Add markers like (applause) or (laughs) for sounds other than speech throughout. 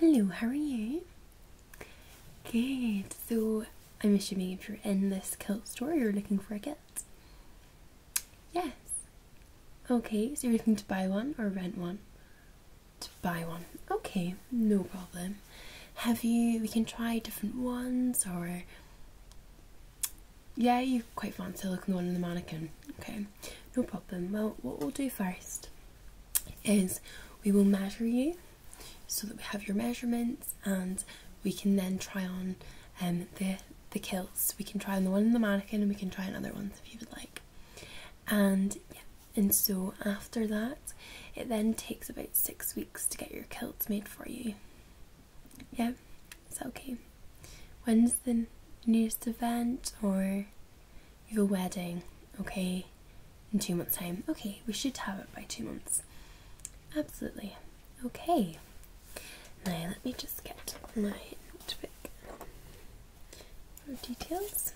Hello, how are you? Good. So I'm assuming if you're in this kilt store, you're looking for a kilt. Yes. Okay, so you're looking to buy one or rent one? To buy one. Okay, no problem have you? We can try different ones, or yeah, you quite fancy looking one in the mannequin. Okay, no problem. Well, what we'll do first is we will measure you so that we have your measurements and we can then try on um, the the kilts. We can try on the one in the mannequin and we can try another other ones if you would like. And and so after that, it then takes about six weeks to get your kilts made for you. Yeah, it's okay. When's the nearest event or your wedding? Okay, in two months' time. Okay, we should have it by two months. Absolutely. Okay. Now let me just get my details.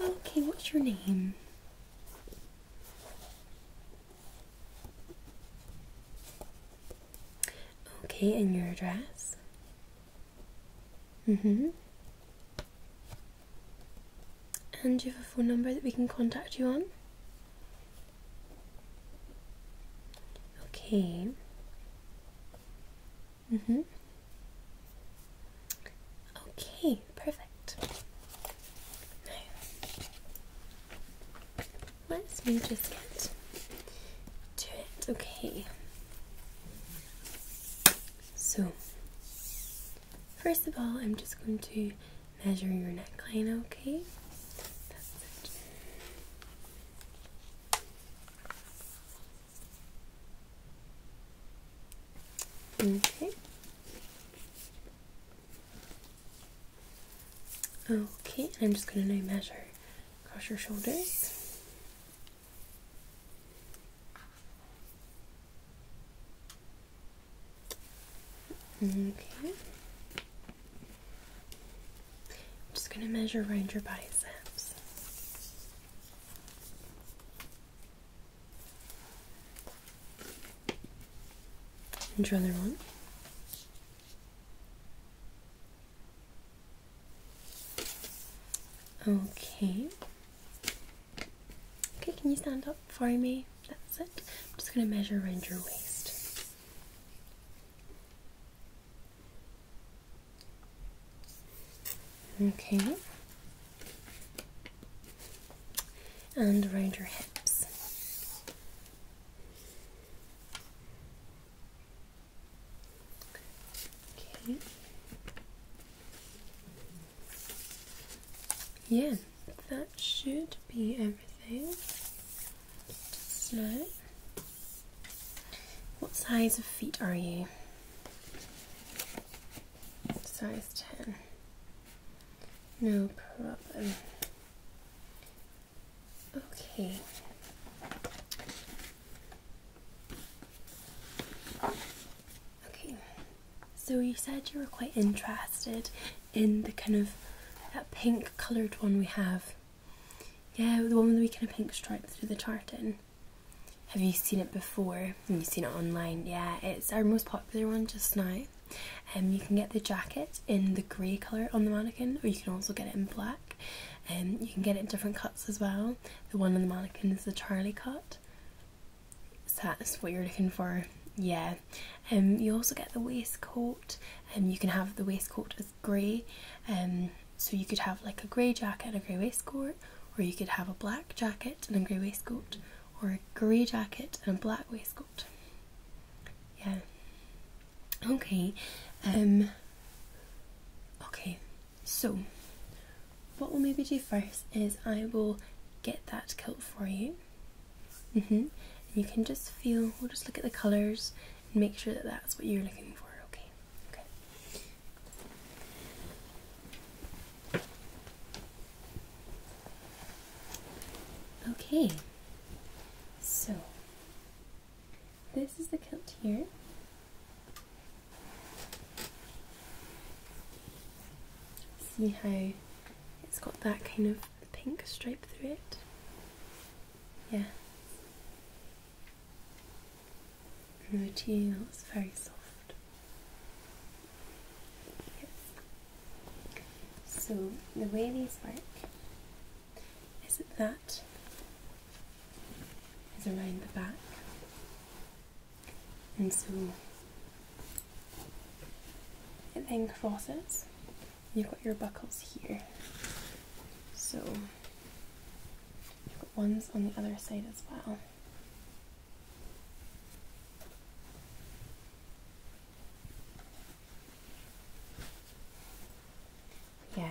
Okay, what's your name? Okay, and your address? Mm-hmm. And do you have a phone number that we can contact you on? Okay. Mm hmm Okay, perfect. Now, let me just get to it. Okay. So, first of all, I'm just going to measure your neckline, okay? Okay. Okay, I'm just gonna measure across your shoulders. Okay. I'm just going to measure around your biceps. And your other one. Okay. Okay, can you stand up for me? That's it. I'm just going to measure around your waist. Okay. And around your hips. Okay. Yeah, that should be everything. Just what size of feet are you? Size 10. No problem. Okay. Okay. So you said you were quite interested in the kind of that pink coloured one we have yeah, the one with the kind of pink stripes through the tartan. Have you seen it before? Have you seen it online? Yeah, it's our most popular one just now. And um, you can get the jacket in the grey colour on the mannequin, or you can also get it in black. And um, you can get it in different cuts as well. The one on the mannequin is the Charlie cut. So that's what you're looking for. Yeah. And um, you also get the waistcoat. and you can have the waistcoat as grey and um, so you could have like a grey jacket and a grey waistcoat or you could have a black jacket and a grey waistcoat or a grey jacket and a black waistcoat yeah okay um okay so what we'll maybe do first is I will get that kilt for you -hmm. and you can just feel we'll just look at the colours make sure that that's what you're looking for. Okay. Okay. Okay, so this is the kilt here. See how it's got that kind of pink stripe through it? Yeah, Fruity, that was very soft. Yes. So the way these work is that that is around the back, and so it then forces You've got your buckles here. So put ones on the other side as well. Yeah,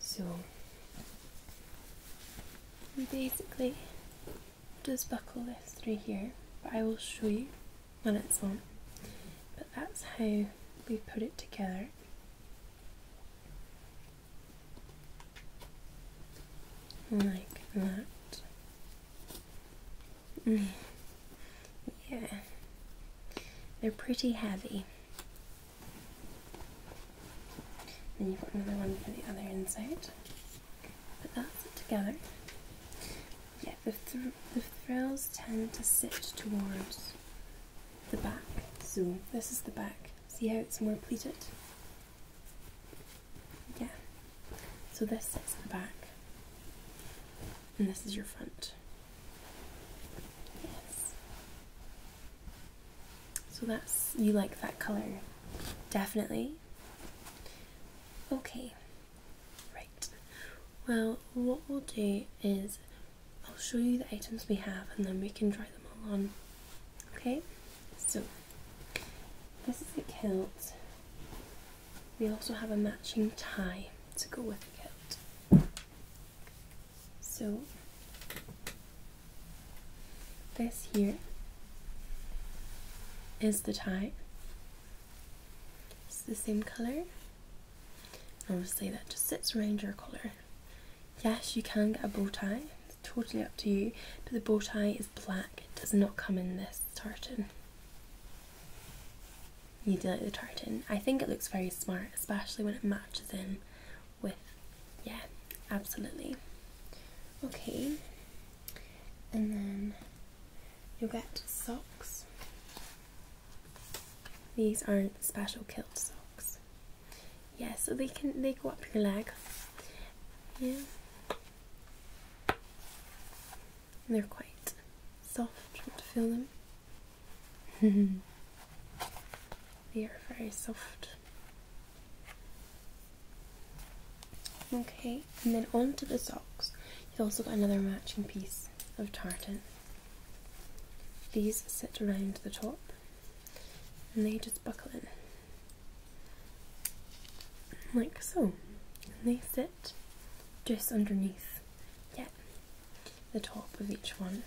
so we basically just buckle this through here, but I will show you when it's on. But that's how we put it together. Like that. Mm. yeah. They're pretty heavy. And you've got another one for the other inside. Put that together. Yeah, the, the frills tend to sit towards the back. So this is the back. See how it's more pleated? Yeah. So this is the back. And this is your front. Yes. So that's, you like that colour. Definitely. Okay. Right. Well, what we'll do is I'll show you the items we have and then we can try them all on. Okay, so this is the kilt. We also have a matching tie to go with the kilt. So this here is the tie. It's the same colour. Obviously that just sits around your collar. Yes, you can get a bow tie, it's totally up to you, but the bow tie is black, it does not come in this tartan. You do like the tartan. I think it looks very smart, especially when it matches in with, yeah, absolutely. Okay, and then you'll get socks. These aren't special kilt socks. Yeah, so they can they go up your leg. Yeah. they're quite soft, trying to feel them. (laughs) they are very soft. Okay, and then onto the socks. You've also got another matching piece of tartan. These sit around the top and they just buckle in like so and they sit just underneath yeah the top of each one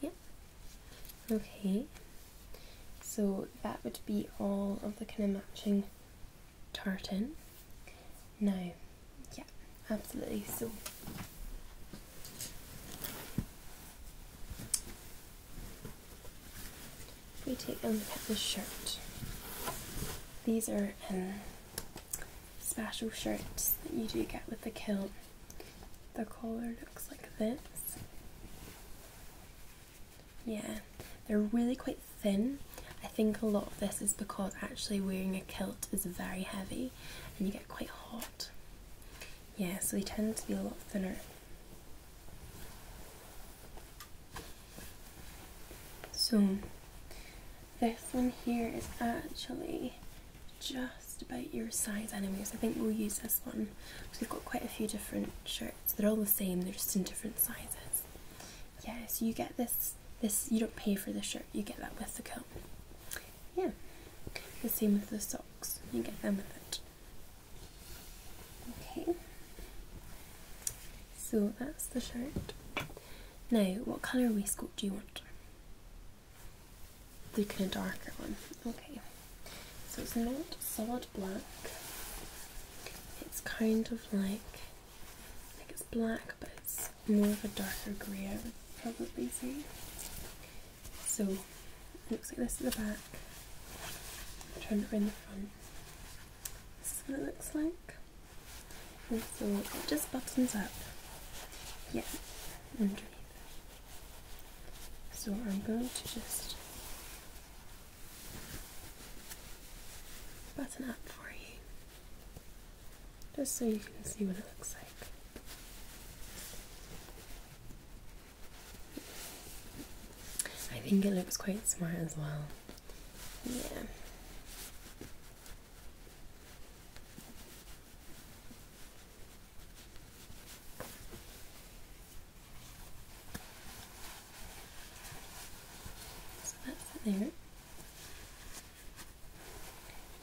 yep okay so that would be all of the kind of matching tartan. No, yeah, absolutely. So if we take a look at the shirt, these are um, special shirts that you do get with the kilt. The collar looks like this. Yeah, they're really quite thin. I think a lot of this is because actually wearing a kilt is very heavy and you get quite hot. Yeah, so they tend to be a lot thinner. So this one here is actually just about your size anyways. I think we'll use this one we've got quite a few different shirts. They're all the same, they're just in different sizes yes you get this this you don't pay for the shirt you get that with the coat yeah the same with the socks you get them with it okay so that's the shirt now what colour waistcoat do you want the kind of darker one okay so it's not solid black it's kind of like, like it's black, but it's more of a darker grey, I would probably say. So, it looks like this at the back. Turn am trying the front. This is what it looks like. so it just buttons up. Yeah, underneath. So I'm going to just button up for you just so you can see what it looks like. I think it looks quite smart as well. Yeah. So that's it there.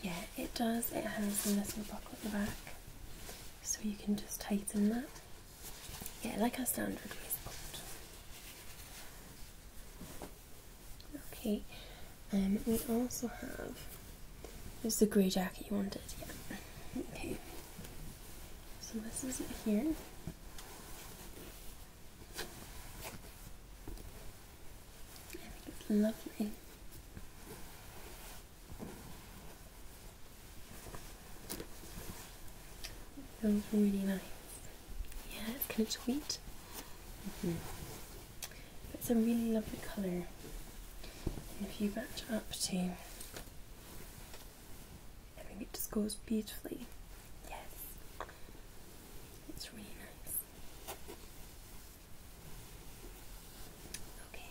Yeah, it does. It has a little buckle at the back, so you can just tighten that. Yeah, like our standard waistcoat. Okay, and um, we also have. This is the grey jacket you wanted, yeah. Okay. So this is it here it's lovely. feels really nice. Yeah, it's kind of sweet. Mm It's a really lovely colour. if you match up to I think it just goes beautifully. Yes, it's really nice. Okay,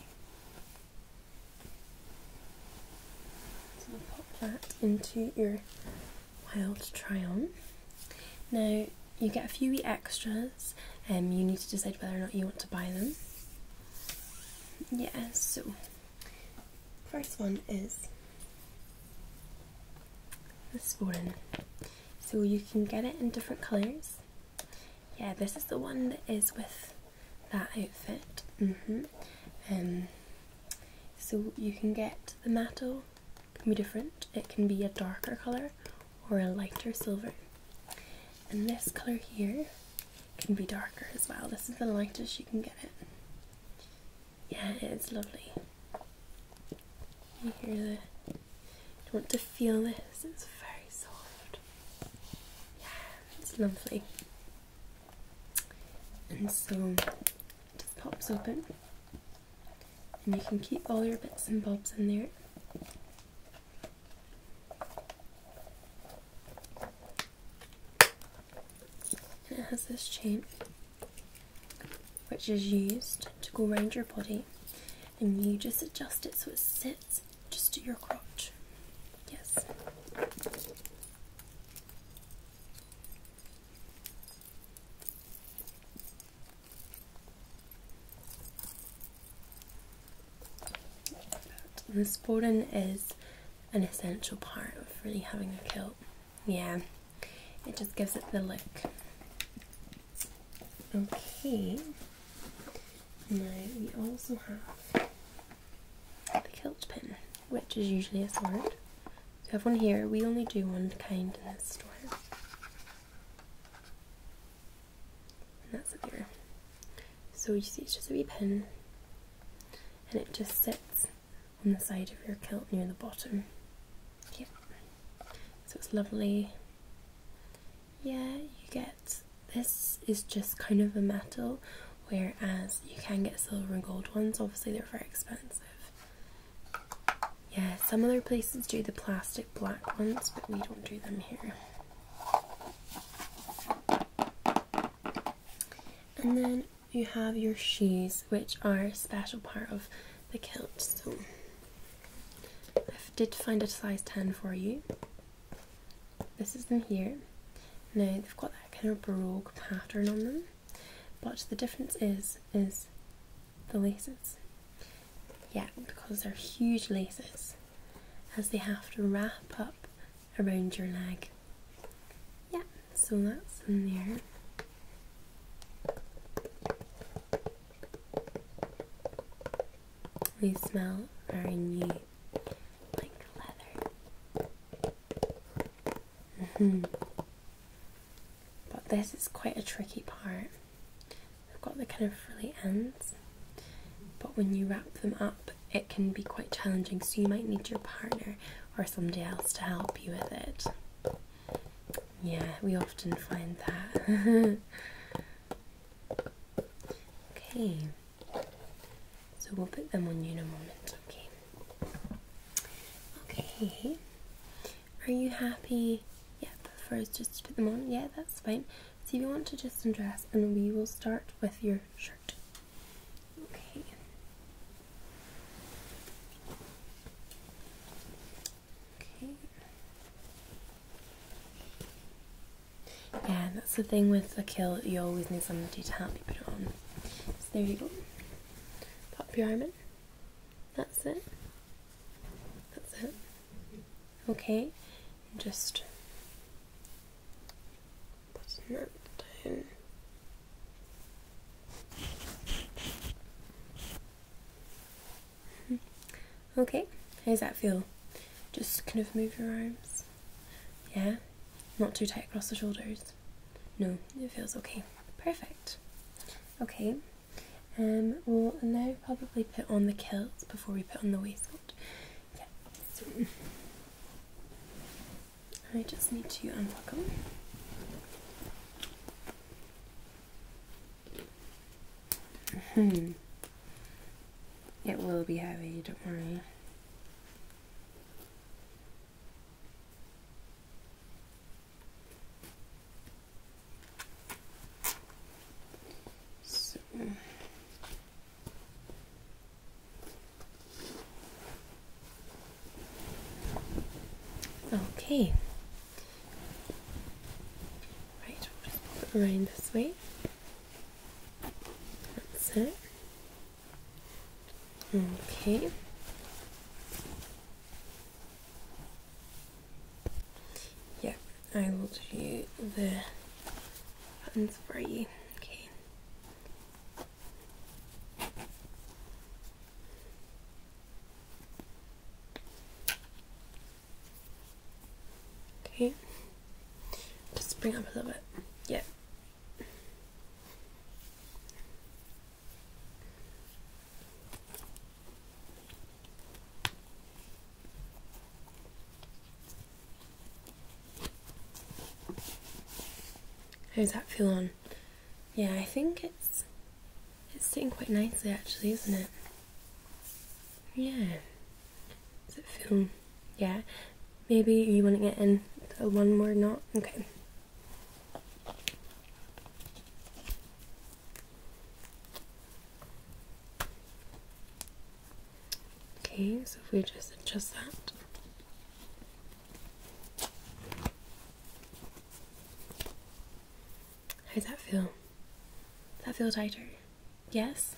so pop that into your wild try on. Now you get a few extras, and um, you need to decide whether or not you want to buy them. Yeah, so First one is this one. So you can get it in different colours. Yeah, this is the one that is with that outfit. -hmm. Um, so you can get the metal, can be different. It can be a darker colour or a lighter silver. And this colour here can be darker as well. This is the lightest you can get it. Yeah, it's lovely. You hear the. You want to feel this, it's very soft. Yeah, it's lovely. And so it just pops open, and you can keep all your bits and bobs in there. And it has this chain which is used to go around your body and you just adjust it so it sits just to your crotch. Yes. this button is an essential part of really having a kilt. Yeah, it just gives it the look. Okay, now we also have the kilt pin, which is usually a sword. So I have one here, we only do one kind in this store. And that's up here. So you see it's just a wee pin and it just sits on the side of your kilt near the bottom. Yeah, so it's lovely. Yeah, you get this is just kind of a metal, whereas you can get silver and gold ones. Obviously, they're very expensive. Yeah, some other places do the plastic black ones, but we don't do them here. And then you have your shoes, which are a special part of the kilt. So I did find a size 10 for you. This is in here. Now they've got that kind of baroque pattern on them, but the difference is is the laces. Yeah, because they're huge laces, as they have to wrap up around your leg. Yeah, so that's in there. We smell very new, like leather. Mm-hmm. But this is quite a tricky part. i have got the kind of frilly ends, but when you wrap them up, it can be quite challenging, so you might need your partner or somebody else to help you with it. Yeah, we often find that. (laughs) okay, so we'll put them on you in a moment, okay? Okay, are you happy? Yeah, first just to put them on. Yeah, that's fine. So if you want to just undress, and we will start with your shirt. Okay. Okay. Yeah, that's the thing with the kill, you always need somebody to help you put it on. So there you go. Pop your arm in. That's it. That's it. Okay. Just that's nothing. Hmm. Okay, how does that feel? Just kind of move your arms. Yeah? Not too tight across the shoulders. No, it feels okay. Perfect. Okay. Um, we'll now probably put on the kilt before we put on the waistcoat. Yeah. I just need to unbuckle. Hmm. It will be heavy, don't worry. So. Okay. Right, i this way. That's it. Okay. Yeah, I will do the buttons for you. Okay. Okay, just bring up a little bit. Yeah. How's that feel on? Yeah, I think it's it's sitting quite nicely actually, isn't it? Yeah. Does it feel yeah? Maybe you want to get in a one more knot? Okay. Okay, so if we just adjust that. How does that feel? Does that feel tighter? Yes?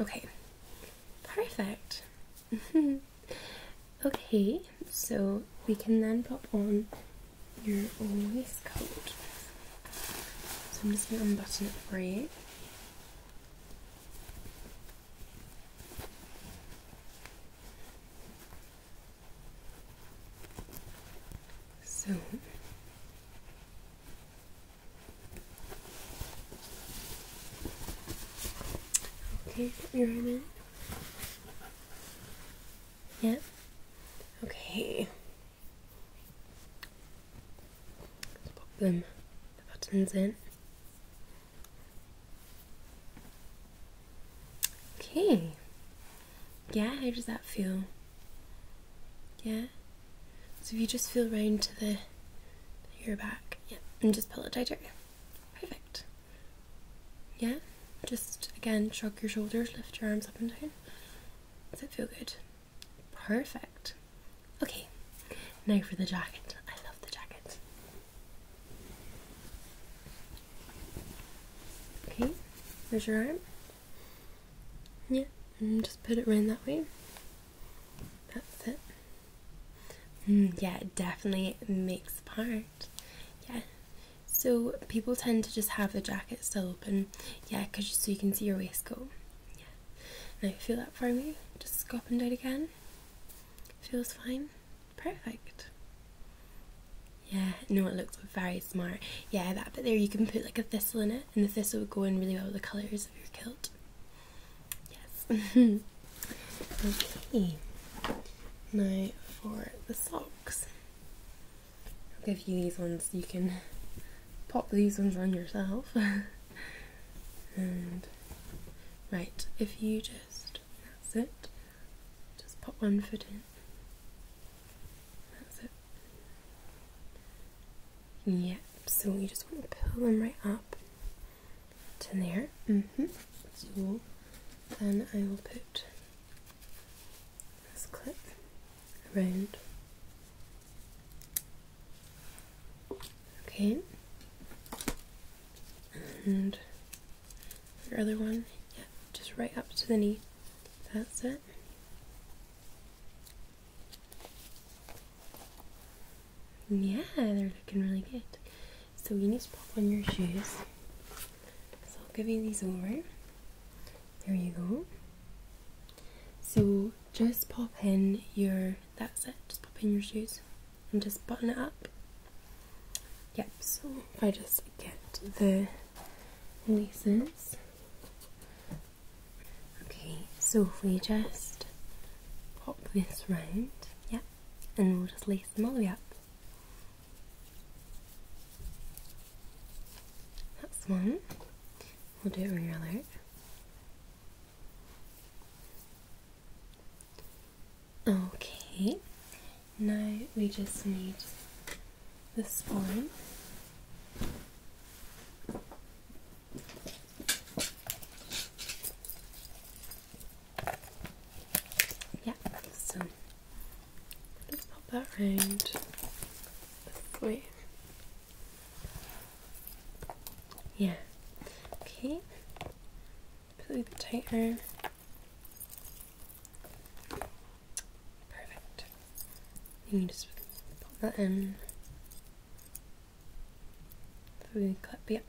Okay. Perfect. (laughs) okay, so we can then pop on your waistcoat. So I'm just going to unbutton it for you. So Okay, you're in. Yep. Okay. Let's pop them the buttons in. Okay. Yeah, how does that feel? Yeah? So if you just feel round to the, your back, yeah, and just pull it tighter. Perfect. Yeah? Just again, shrug your shoulders, lift your arms up and down. Does it feel good? Perfect. Okay, now for the jacket. I love the jacket. Okay, there's your arm. Yeah, just put it around that way. That's it. Mm, yeah, it definitely makes part. Yeah. So people tend to just have the jacket still open. Yeah, because so you can see your waistcoat. Yeah. Now feel that for me. Just go up and down again. Feels fine? Perfect. Yeah, no, it looks very smart. Yeah, that bit there, you can put like a thistle in it, and the thistle would go in really well with the colours of your kilt. Yes. (laughs) okay. Now for the socks. I'll give you these ones, you can pop these ones on yourself. (laughs) and right, if you just that's it. Just put one foot in. That's it. Yep, so you just want to pull them right up to there. Mm-hmm. So then I will put this clip around Okay. And your other one, yeah, just right up to the knee. That's it. Yeah, they're looking really good. So you need to pop on your shoes. So I'll give you these over. There you go. So just pop in your that's it. Just pop in your shoes and just button it up. Yep, so if I just get the laces. Okay, so we just pop this round, yep, and we'll just lace them all the way up. That's one. We'll do it really. your Okay, now we just need the spine. Yeah, so let's pop that round this Yeah, okay, Probably the tighter. Perfect. Then you just pop that in through the clip. Yep.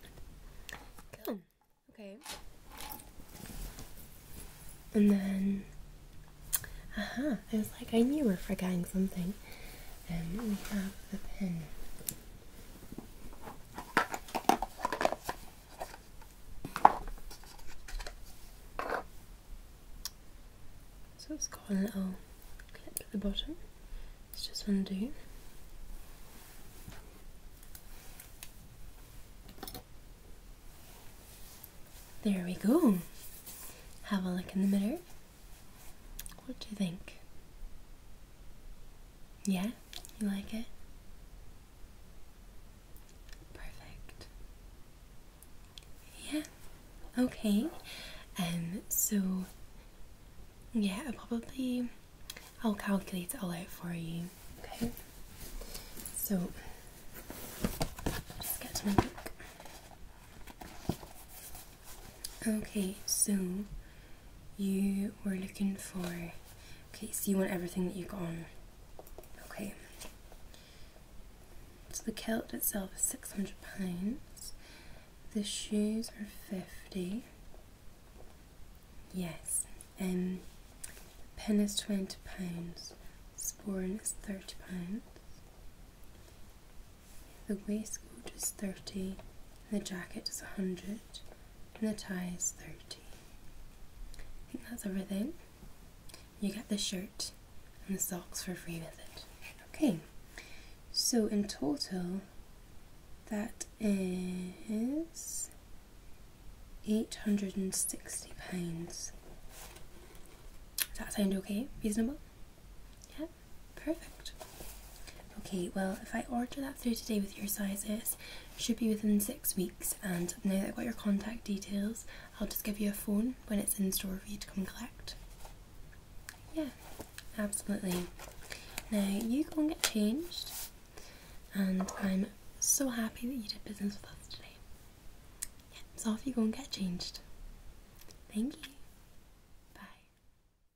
Cool. Okay. And then, aha, uh -huh, I was like, I knew we are forgetting something. And we have the pin. So it's got a little clip at the bottom. Let's just undo. There we go. Have a look in the mirror. What do you think? Yeah? You like it? Perfect. Yeah. Okay. And um, so yeah, probably I'll calculate it all out for you. Okay. So just get to my book. Okay, so you were looking for. Okay, so you want everything that you got on. Okay. So the kilt itself is six hundred pounds. The shoes are fifty. Yes, and um, the pin is twenty pounds. Sporran is thirty pounds. The waistcoat is thirty the jacket is 100 and the tie is 30. that's everything. You get the shirt and the socks for free with it. Okay, so in total, that is £860. Does that sound okay? Reasonable? Yeah? Perfect. Okay, well, if I order that through today with your sizes, should be within six weeks. And now that I've got your contact details, I'll just give you a phone when it's in store for you to come collect. Yeah, absolutely. Now you go and get changed, and I'm so happy that you did business with us today. Yeah, so off you go and get changed. Thank you. Bye.